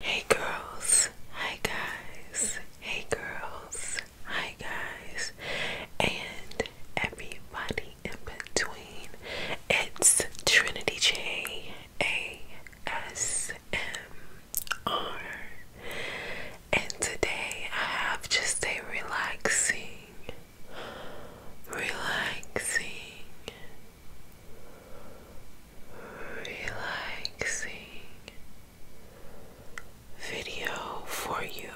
Hey girls, hi guys, hey girls, hi guys, and everybody in between. It's Trinity J A S M R, and today I have just a relaxing, relaxing, relaxing video for you.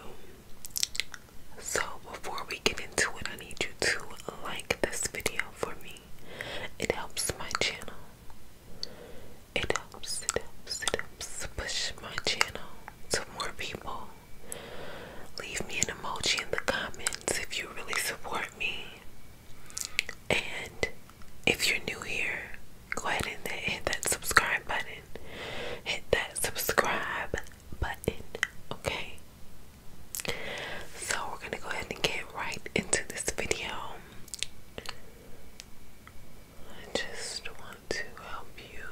So, before we get into it, I need you to like this video for me. It helps my channel. It helps, it helps, it helps push my channel to more people. Leave me an emoji in the comments if you really support me. And if you're new here, go ahead and hit that subscribe button. Hit that subscribe button, okay? So we're going to go ahead and get right into this video. I just want to help you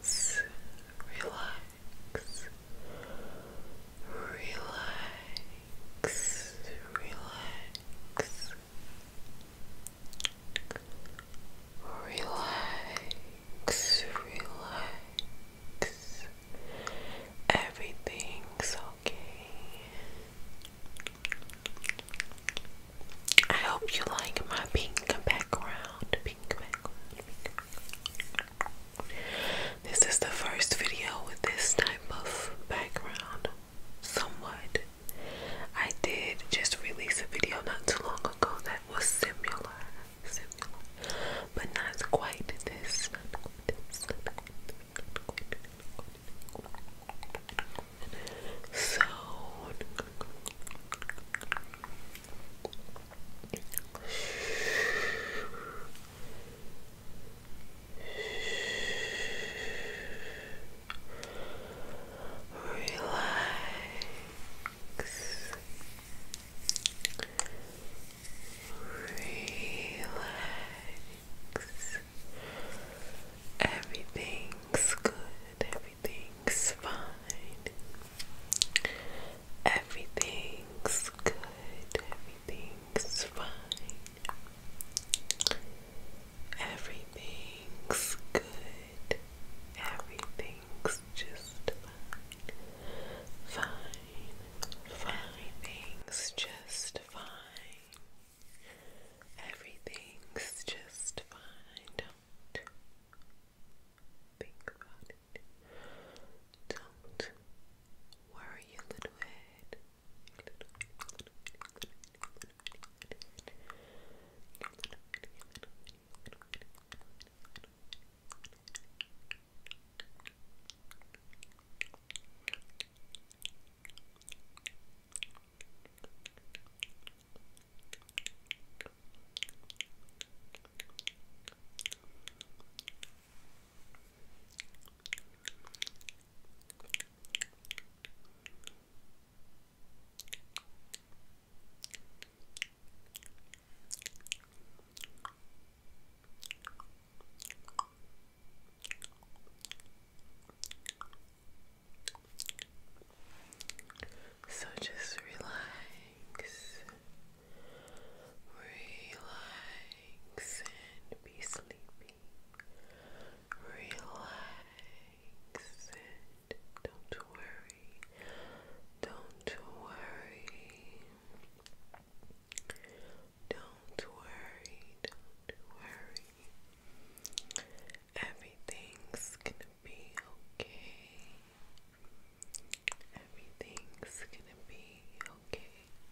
relax, relax, relax, relax, relax, relax. Everything's okay. I hope you like my pink background, pink background, this is the first video with this type of background, somewhat. I did just release a video not too long ago that was similar, similar, but not quite this. So. Relax. Relax. Everything's good. Everything's fine. Everything's good everything's fine. Everything's good. Everything's just fine. Fine. fine. just fine. Everything's just fine. Don't think about it. Don't where are you, little head? So just relax, relax, relax and be sleepy. Relax and don't worry. Don't worry. Don't worry. Don't worry. Everything's gonna be okay. Everything's gonna be okay.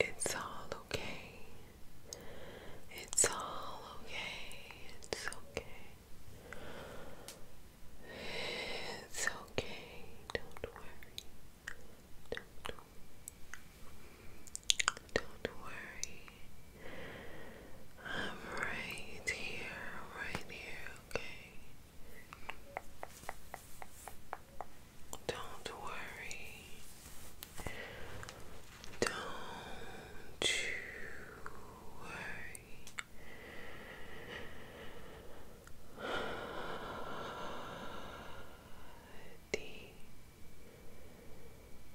It's all okay. It's all okay. It's okay. It's okay. Don't worry. Don't, don't worry. I'm right here, right here, okay? Don't worry. Don't you worry. D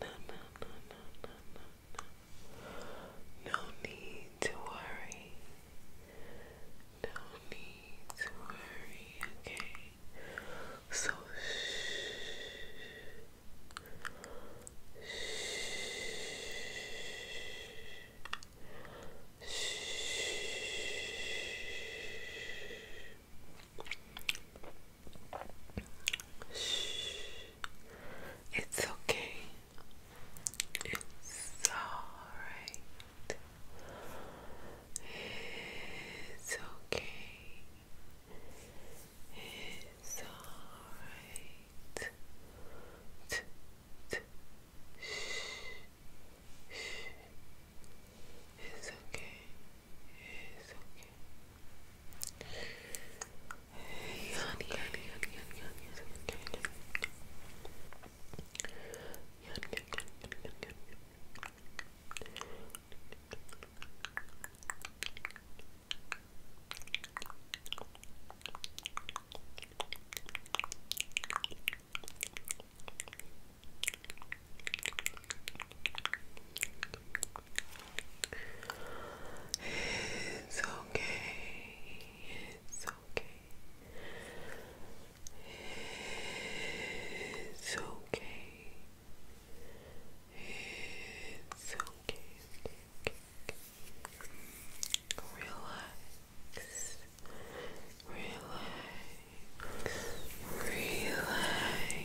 no, no, no, no, no, no, no. need to worry. No need to worry, okay? So shh. Shh. Shh. Shh. It's okay. It's alright. It's okay. It's alright. Shh. Shh. It's okay. It's okay. Yun, it's okay. It's okay. It's okay. It's okay. okay, okay, okay. Relax. Relax. Relax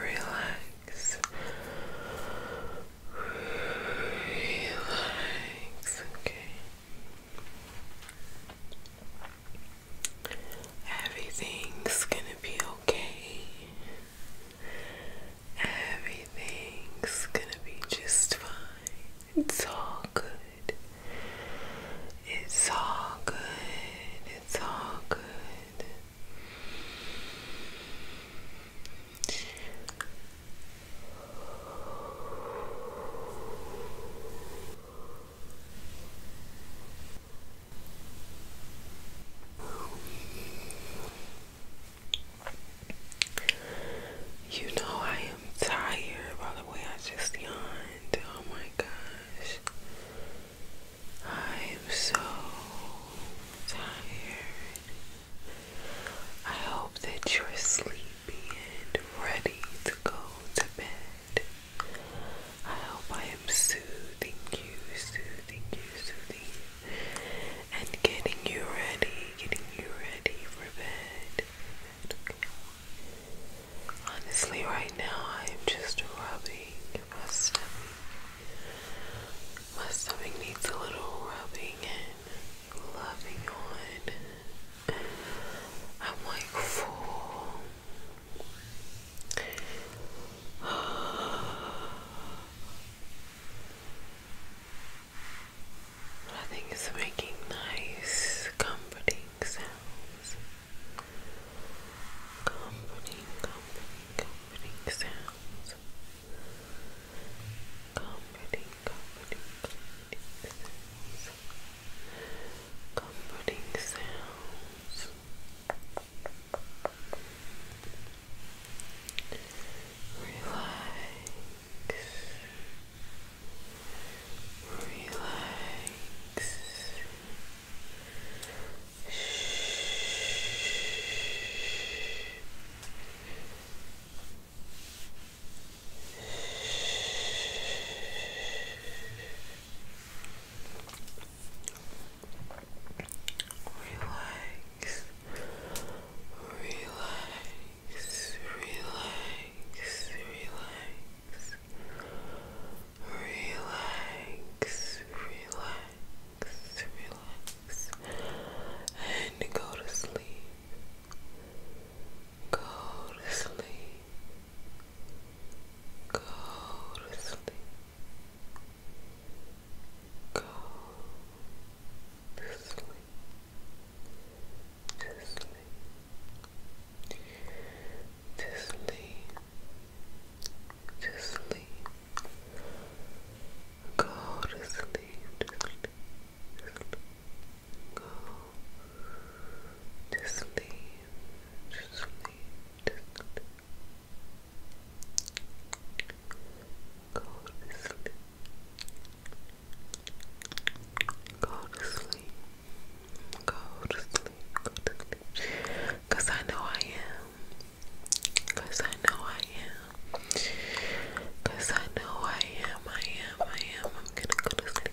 Relax. Relax. Okay. Everything's gonna be okay. Everything's gonna be just fine. It's all good. It's all good. It's all good. You know I am tired by the way I just yawned. Oh my gosh. I am so tired. I hope that you're asleep being ready to go to bed. I hope I am soothing you, soothing you, soothing you, and getting you ready, getting you ready for bed. Honestly, right now I am just rubbing my stomach. My stomach needs a little rubbing and loving on. I'm like full. I think it's making nice, comforting sounds. Comforting, comforting, comforting sounds. Comforting, comforting, comforting sounds comforting sounds. Relax, relax. Shh. Relax, relax, relax, relax, relax, relax, relax, and go to sleep. Go to sleep. Go to sleep. Go to sleep. To sleep. To sleep. To sleep. to sleep. To To sleep go to sleep, to sleep, to sleep. Go to sleep. Go to sleep. Go to sleep. Go to sleep. I know I am. I know I am. I know I am. I am. I am. I'm gonna go to sleep.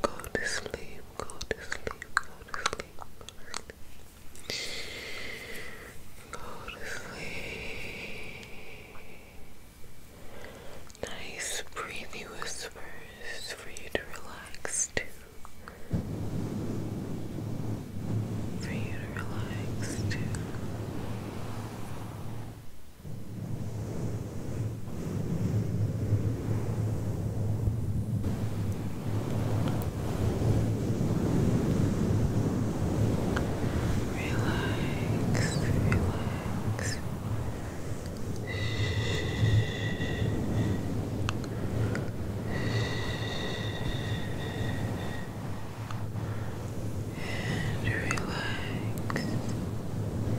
Go to sleep, go to sleep, go to sleep, go to sleep. Nice breathy whispers for you to relax to. For you to relax to. Relax, relax. And relax. Relax.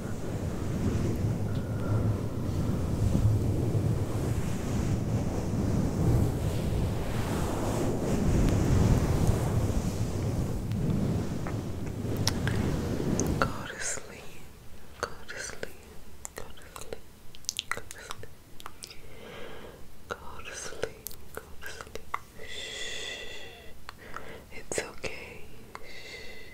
Go to sleep. Go to sleep. Go to sleep. Go to sleep. Go to sleep. Go to sleep. Shh. It's okay. Shh.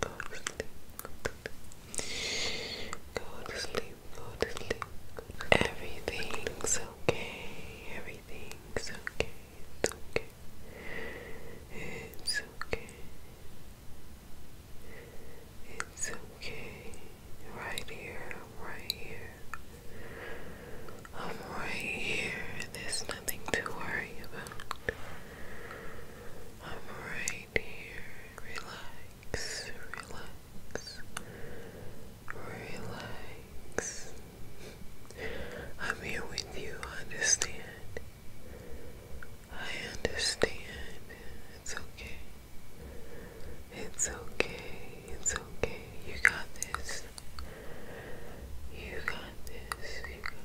Go to sleep. Go to sleep. Go to sleep. Everything's okay. Everything's okay. It's okay. It's okay. It's okay. Right here. I'm right here. I'm right here. There's nothing to worry about. I'm right here. Relax, relax, relax. I'm here with you, I understand? I understand. It's okay. It's okay. It's okay. You got this. You got this.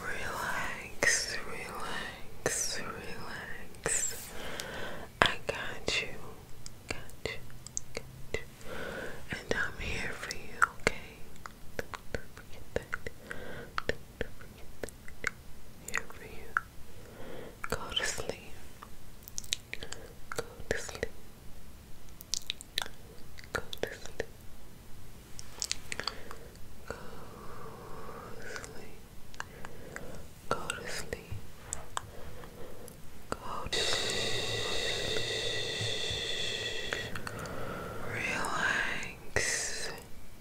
Relax, relax, relax. I got you, got you, got you. And I'm here for you, okay? Don't forget that here for you. Go to sleep. Go to sleep. Go to sleep. Go to sleep. Go to sleep. Go to sleep. Relax. Relax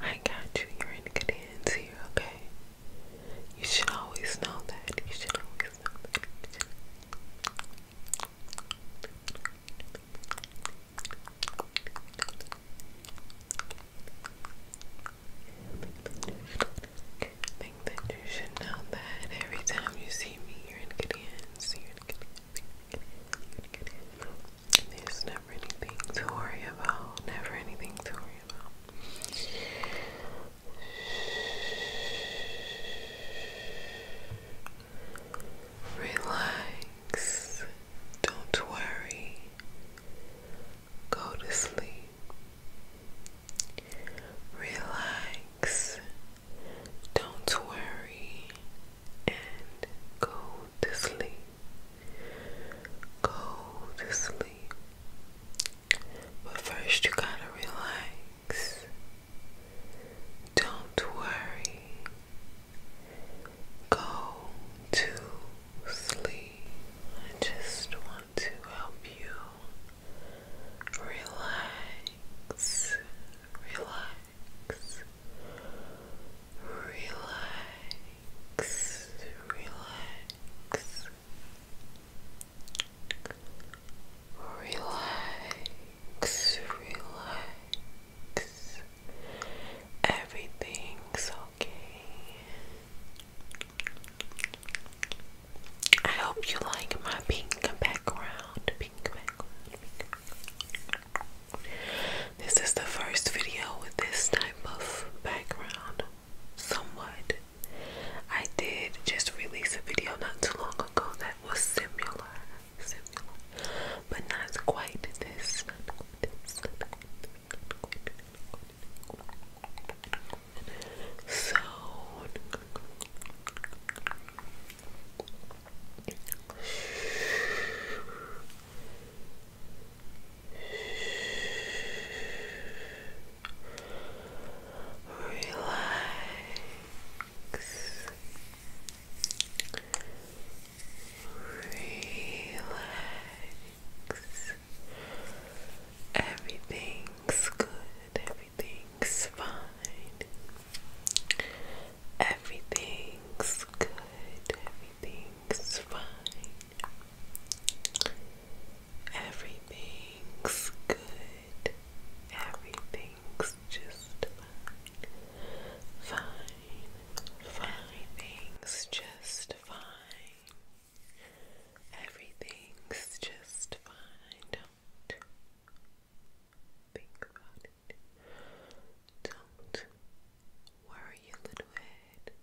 I got you. You're in good hands here, okay? You should always know that. You should always know that. think that you should know that every time you see me, You're in good hands. There's never anything to worry about. Never anything to worry about. Relax. Don't worry. Go to sleep. Relax. Don't worry and go to sleep. Go to sleep. But first, you gotta relax. Don't worry. Go to sleep. I just want to help you relax, relax, relax relax, relax, relax, relax. Everything's okay. I hope you like my pink background, this is the first video with this type of background, somewhat. I did just release a video not too long ago that was similar, similar, but not quite this. So. Relax. Relax. Everything's good. Everything's fine. Everything's good. Everything's fine. Everything's good. Everything's just fine. Fine. fine. just fine. Everything's just fine. Don't think about it. Don't worry, you little head.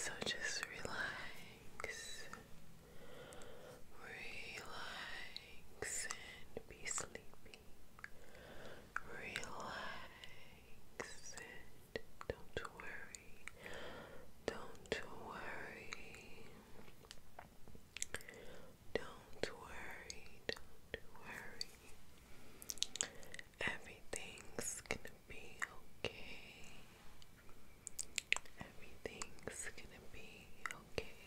So just relax, relax, and be sleepy. Relax Don't worry. Don't worry. Don't worry. Don't worry. Everything's gonna be okay. Everything's gonna be okay.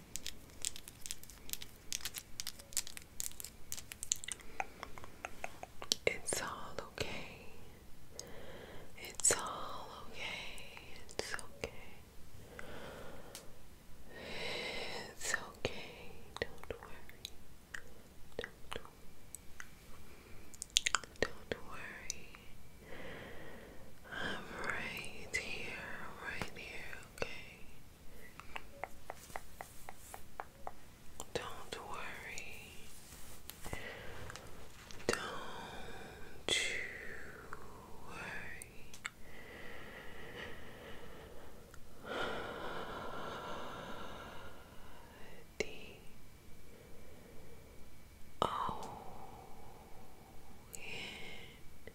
It's all okay. It's all okay. It's okay. It's okay. Don't worry. Don't, worry. I'm right here, right here, okay? Don't worry. Don't you worry. D O N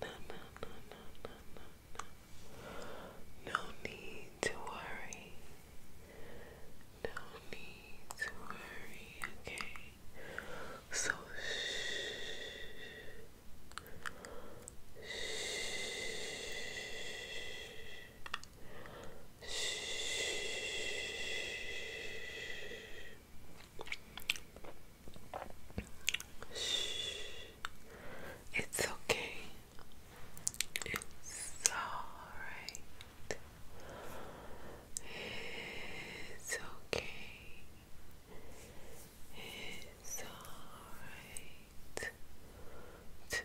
no, no, no, no, no, no, no. need to worry. No need to worry, okay? So shh. Shh. Shh. Shh. It's okay. It's alright. It's okay. It's alright. It's okay.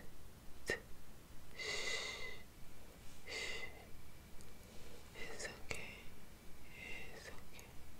It's okay.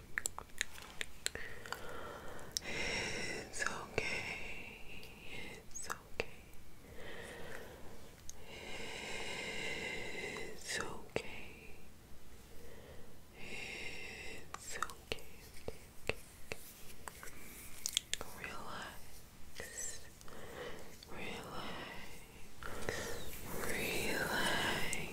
It's okay. It's okay. It's okay. It's okay. Relax. Relax. Relax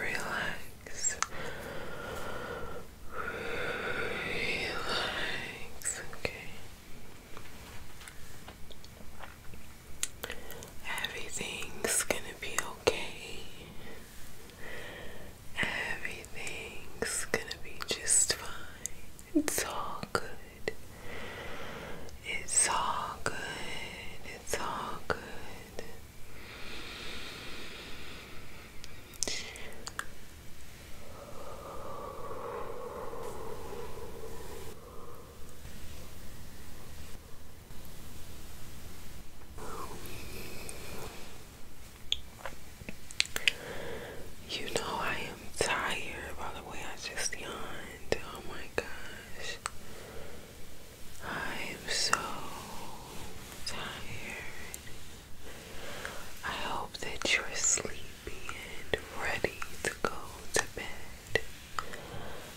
Relax. Relax. Okay. Everything's gonna be okay. Everything's gonna be just fine. It's all good. It's all good. It's all good. You know I am tired by the way I just yawned. Oh my gosh. I am so tired. I hope that you're sleepy and ready to go to bed.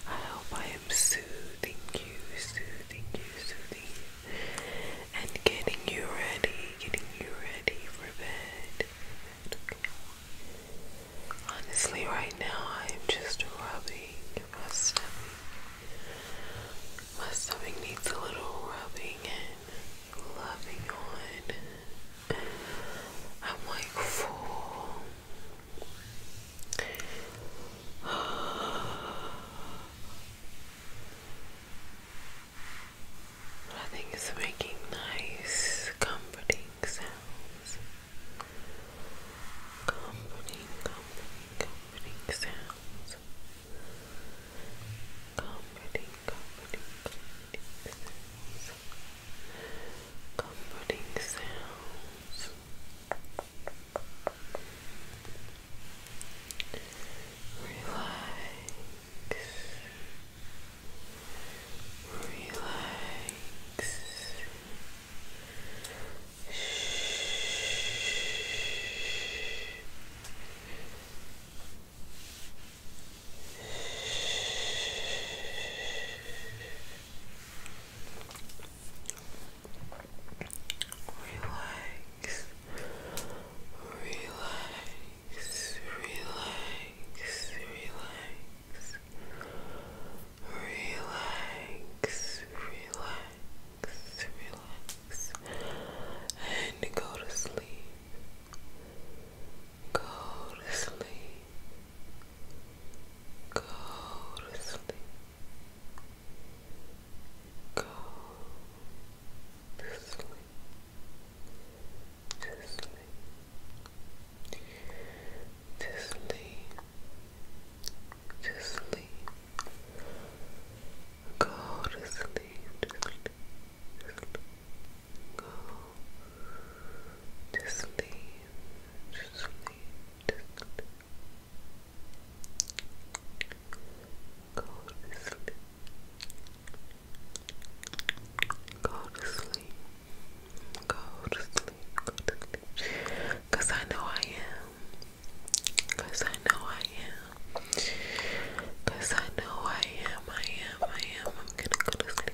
I hope I am soothing you, soothing you, soothing you, and getting you ready, getting you ready for bed. Honestly, right now I am just rubbing my stomach. My stomach needs a little rubbing and loving on. I'm like full. But I think it's making nice, comforting sounds. Comforting, comforting, comforting sounds. Comforting, comforting, comforting sounds comforting sounds. Relax, relax. Shh. Shh. Relax, relax, relax, relax, relax, relax, relax, and go to sleep. Go to sleep. Go to sleep. Go to sleep. To sleep. To sleep. To sleep. Go to sleep. To sleep. Go to sleep, to sleep, to sleep. Go to sleep. Go to sleep. Go to sleep. Go to sleep. Cause I know I am. Cause I know I am. Cause I know I am. I am. I am. I'm gonna go to sleep.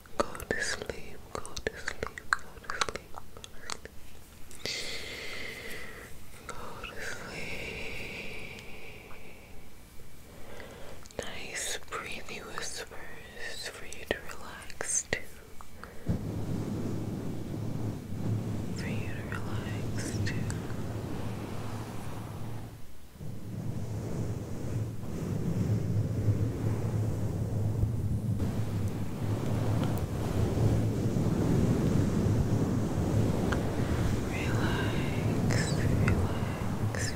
Go to sleep, go to sleep, go to sleep, go to sleep. Nice breathing whispers for you to relax to. For you to relax to. Relax, relax. And relax.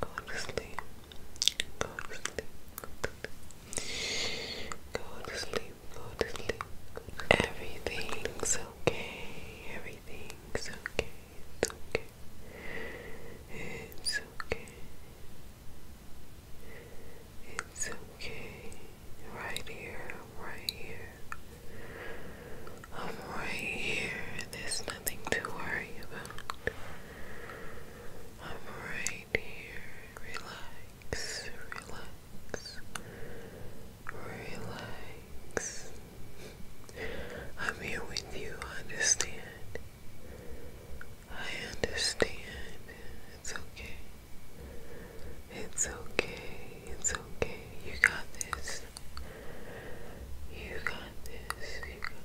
Go to sleep. Go to sleep. Go to sleep. Go to sleep. Everything's okay. Everything's okay. It's okay. It's okay. It's okay. Right here. I'm right here. I'm right here. There's nothing to worry about. I'm right here. Relax, relax, relax. I'm here with you, I understand. I understand. It's okay. It's okay. It's okay. You got this. You got this. You got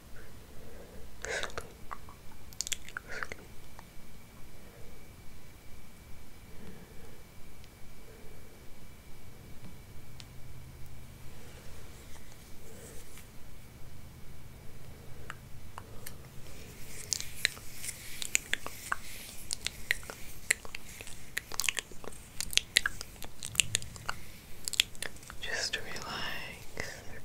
sleep, sleep. Just relax,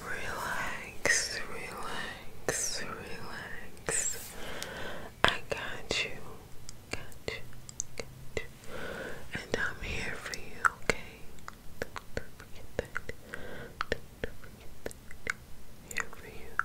Relax, relax, relax. I got you, got you, got you. And I'm here for you, okay? Here for you.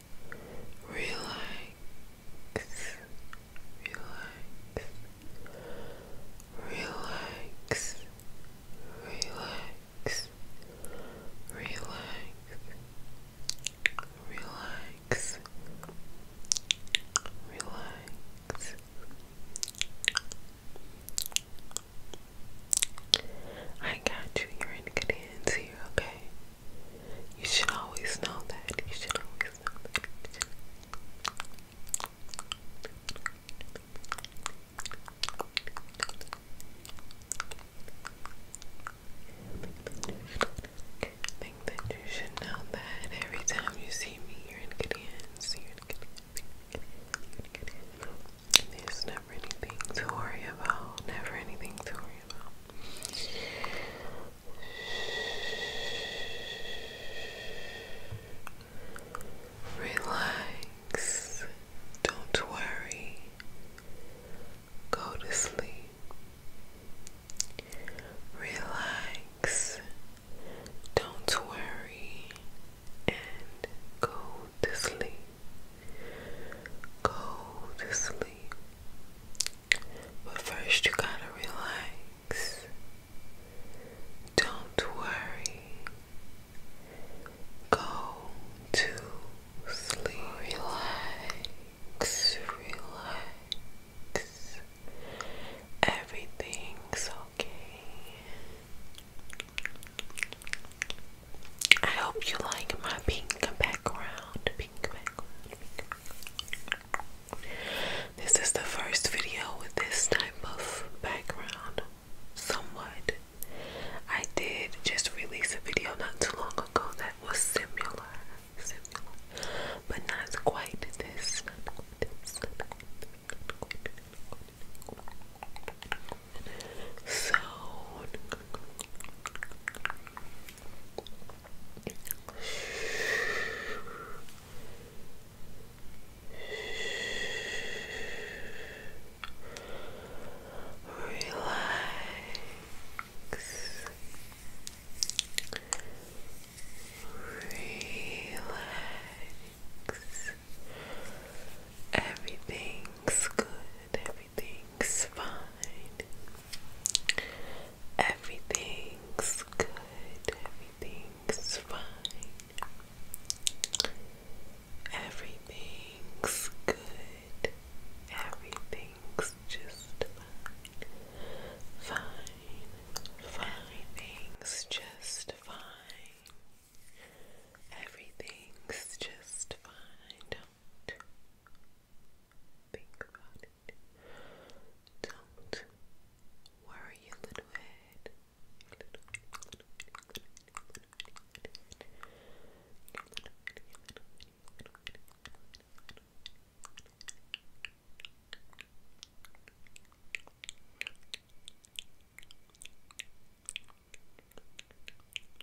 relax, relax, relax, relax, relax, relax. I got you. You're in good hands here, okay? You should always know that. You should always know that. think that you should know that every time you see me, you're in good hands. There's never anything to worry about. Never anything to Relax. Don't worry. Go to sleep. Relax. Don't worry and go to sleep. Go to sleep. But first, you gotta relax. Don't worry. Go to sleep. Relax, relax. Everything's okay. I hope you like my pink background. Pink background. This is the first video with this type of background. Somewhat. I did just release a video not too long ago that was similar. Similar. But not quite this. Not quite this. So Relax. Everything's good. Everything's fine. Everything's good. Everything's fine. Everything's good. Everything's just fine. Fine. fine. just fine. Everything's just fine think Don't worry, you little head.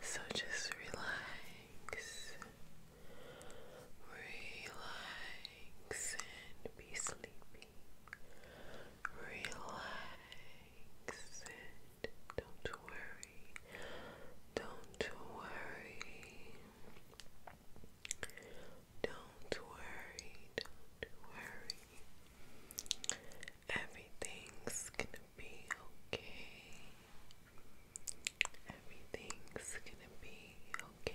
So just relax, relax, and be sleepy. Relax, and don't worry, don't worry, don't worry, don't worry. Everything's gonna be okay. Everything's gonna be okay.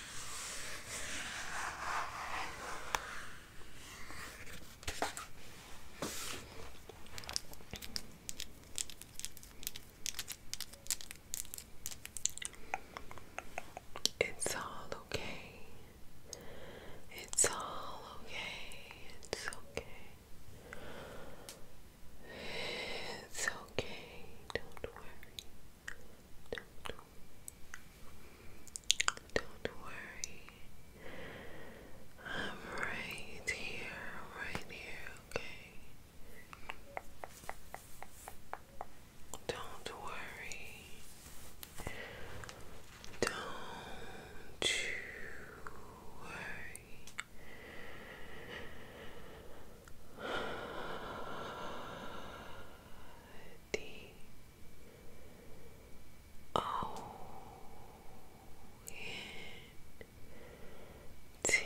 It's all okay. It's all okay. It's okay. It's okay. Don't worry. Don't, worry. I'm right here, right here, okay? Don't worry. Don't you worry. D O N T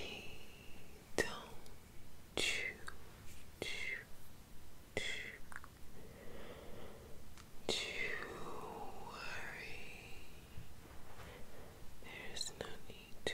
don't chew chew chew chew worry there's no need to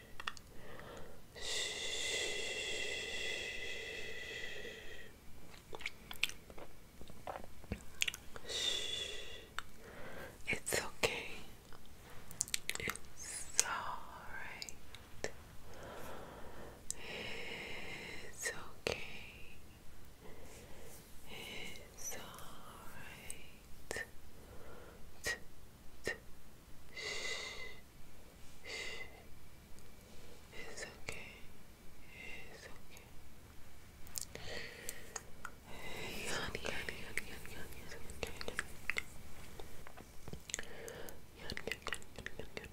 It's okay. It's alright. It's okay. It's alright. It's okay. It's okay. Yanni, yanni, yanni, yanni, yanni, it's okay. Yanni, yanni, yanni, yanni,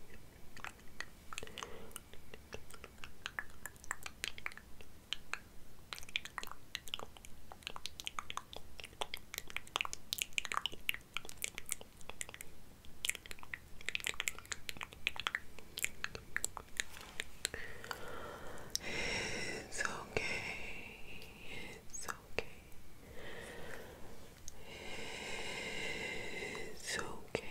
yanni. It's okay. It's okay. It's okay. It's okay. okay,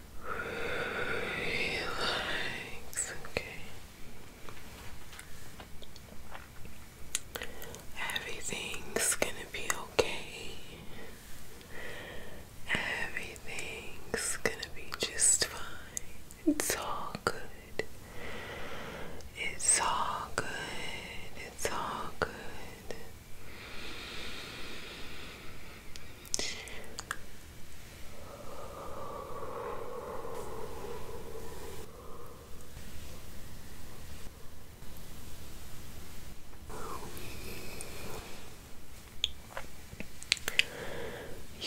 Relax, okay. Everything's gonna be okay. Everything's gonna be just fine. It's all good. It's all good. It's all good.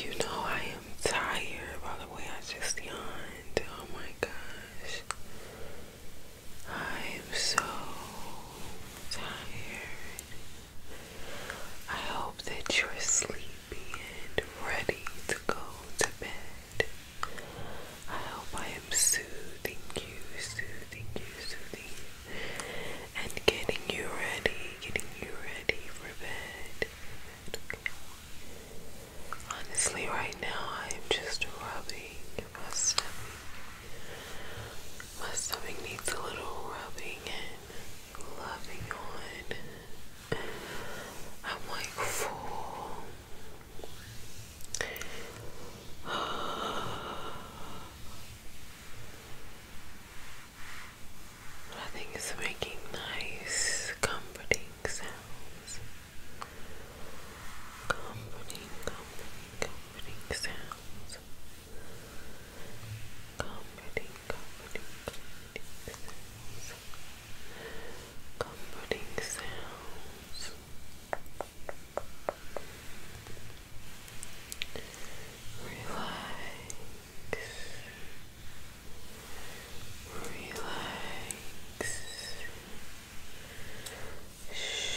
You know, I am tired by the way I just yawned. Oh my gosh. I am so tired. I hope that you're sleepy and ready to go to bed. I hope I am soothing you, soothing you, soothing you, and getting you ready, getting you ready for bed. Honestly, right now I am just rubbing my stomach, my stomach needs a little rubbing and loving on. I'm like full. I think it's making nice, comforting sounds. Comforting, comforting, comforting sounds sounds. Comforting, comforting, sounds. Comforting sounds. Relax. Relax. Shh.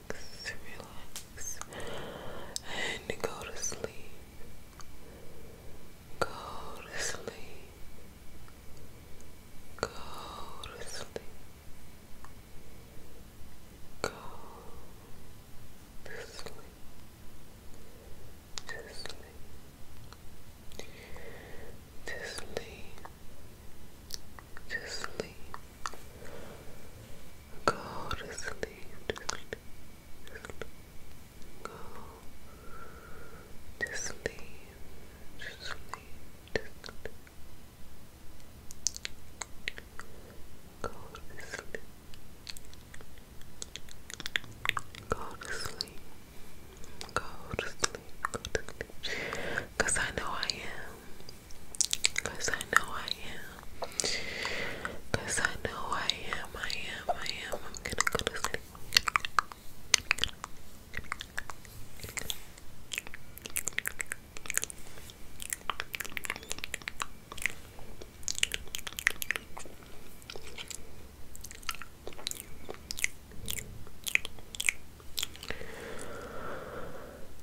relax, and go to sleep. Go to sleep. Go to sleep. Go to sleep. To sleep. To sleep. To sleep. Go to sleep. go to sleep. Just sleep. sleep. Go to sleep. Go to sleep. Go to sleep. Go to sleep. Cause I know I am. Cause I know I am. Cause I know I am. I am. I am. I'm gonna go to sleep.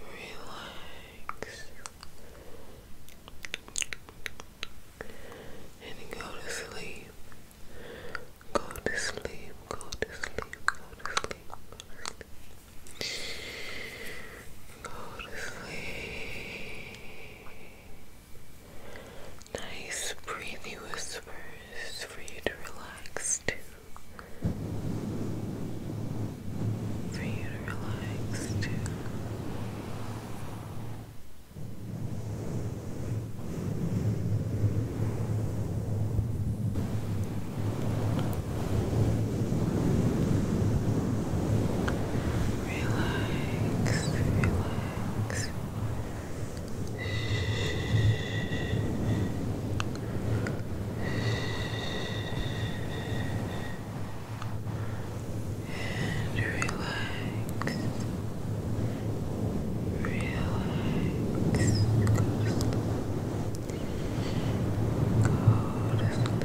relax, and go to sleep. Go to sleep, go to sleep, go to sleep, go to sleep. Nice breathy whispers for you to relax to for you to relax too. Relax, relax. Relax, and relax, relax, go to sleep, go to sleep, go to sleep.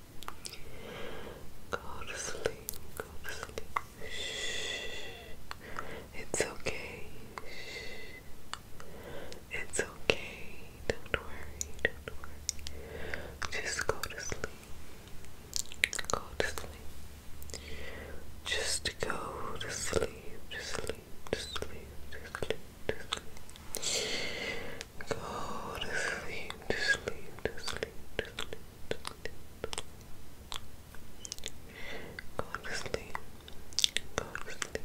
Go to sleep. Go to sleep. Shh. It's okay. Shh. It's okay. Don't worry. Don't worry. Just go to sleep. Go to sleep. Just go to sleep. Just sleep. Just sleep. Just sleep. Just sleep. Go to sleep, to sleep, to sleep, to sleep, to sleep. Go to sleep, go to sleep,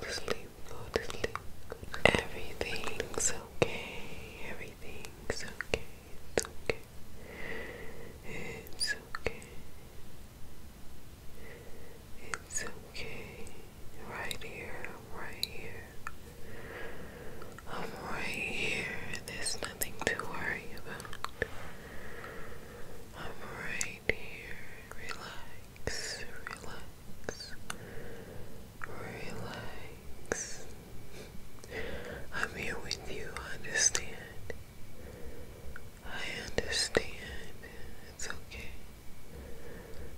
to sleep, to sleep. Everything's okay, everything's okay, it's okay, it's okay. It's okay, right here, right here, I'm right here. There's nothing to worry about. I'm right here. Relax, relax, relax. I'm here with you. I understand. I understand. It's okay.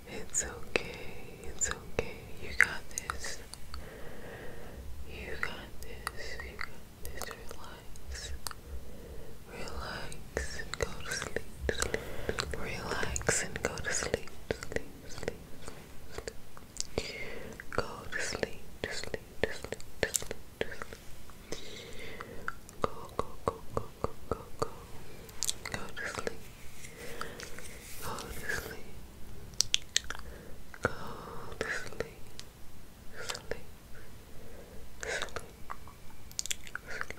It's okay, it's okay. You got this. You got this. You got this. Relax. Relax and go to sleep. sleep. Relax and go to sleep. Sleep, sleep, Go to sleep, to sleep, to sleep, to sleep, to sleep. Go, go, go, go, go, go, go. Go to sleep. Go to sleep. Go to sleep. Sleep. Sleep. Sleep. Sleep.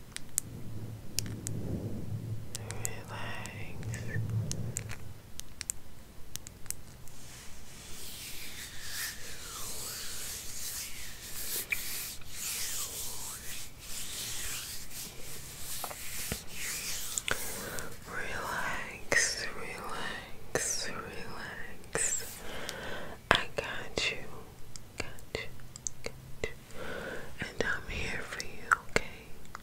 Relax, relax, relax. I got you, got you, got you. And I'm here for you, okay?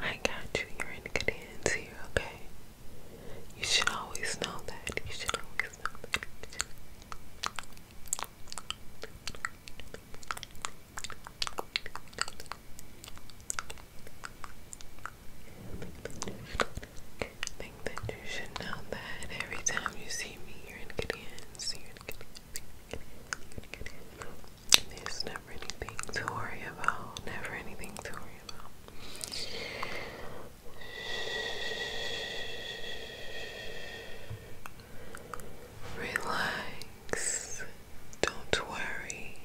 I got you. You're in good hands here, okay? You should always know that. You should always know that. think that you should know that every time you see me, you're in good hands. you there's never anything to worry about. Never anything to worry about. Relax. Don't worry.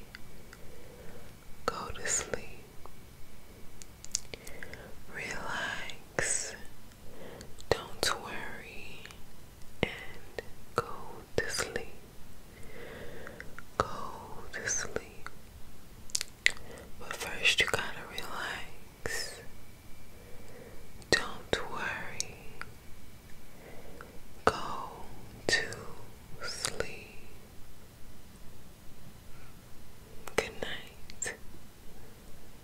Go to sleep. Relax. Don't worry and go to sleep. Go to sleep. But first, you gotta relax. Don't worry. Go to sleep. Good night.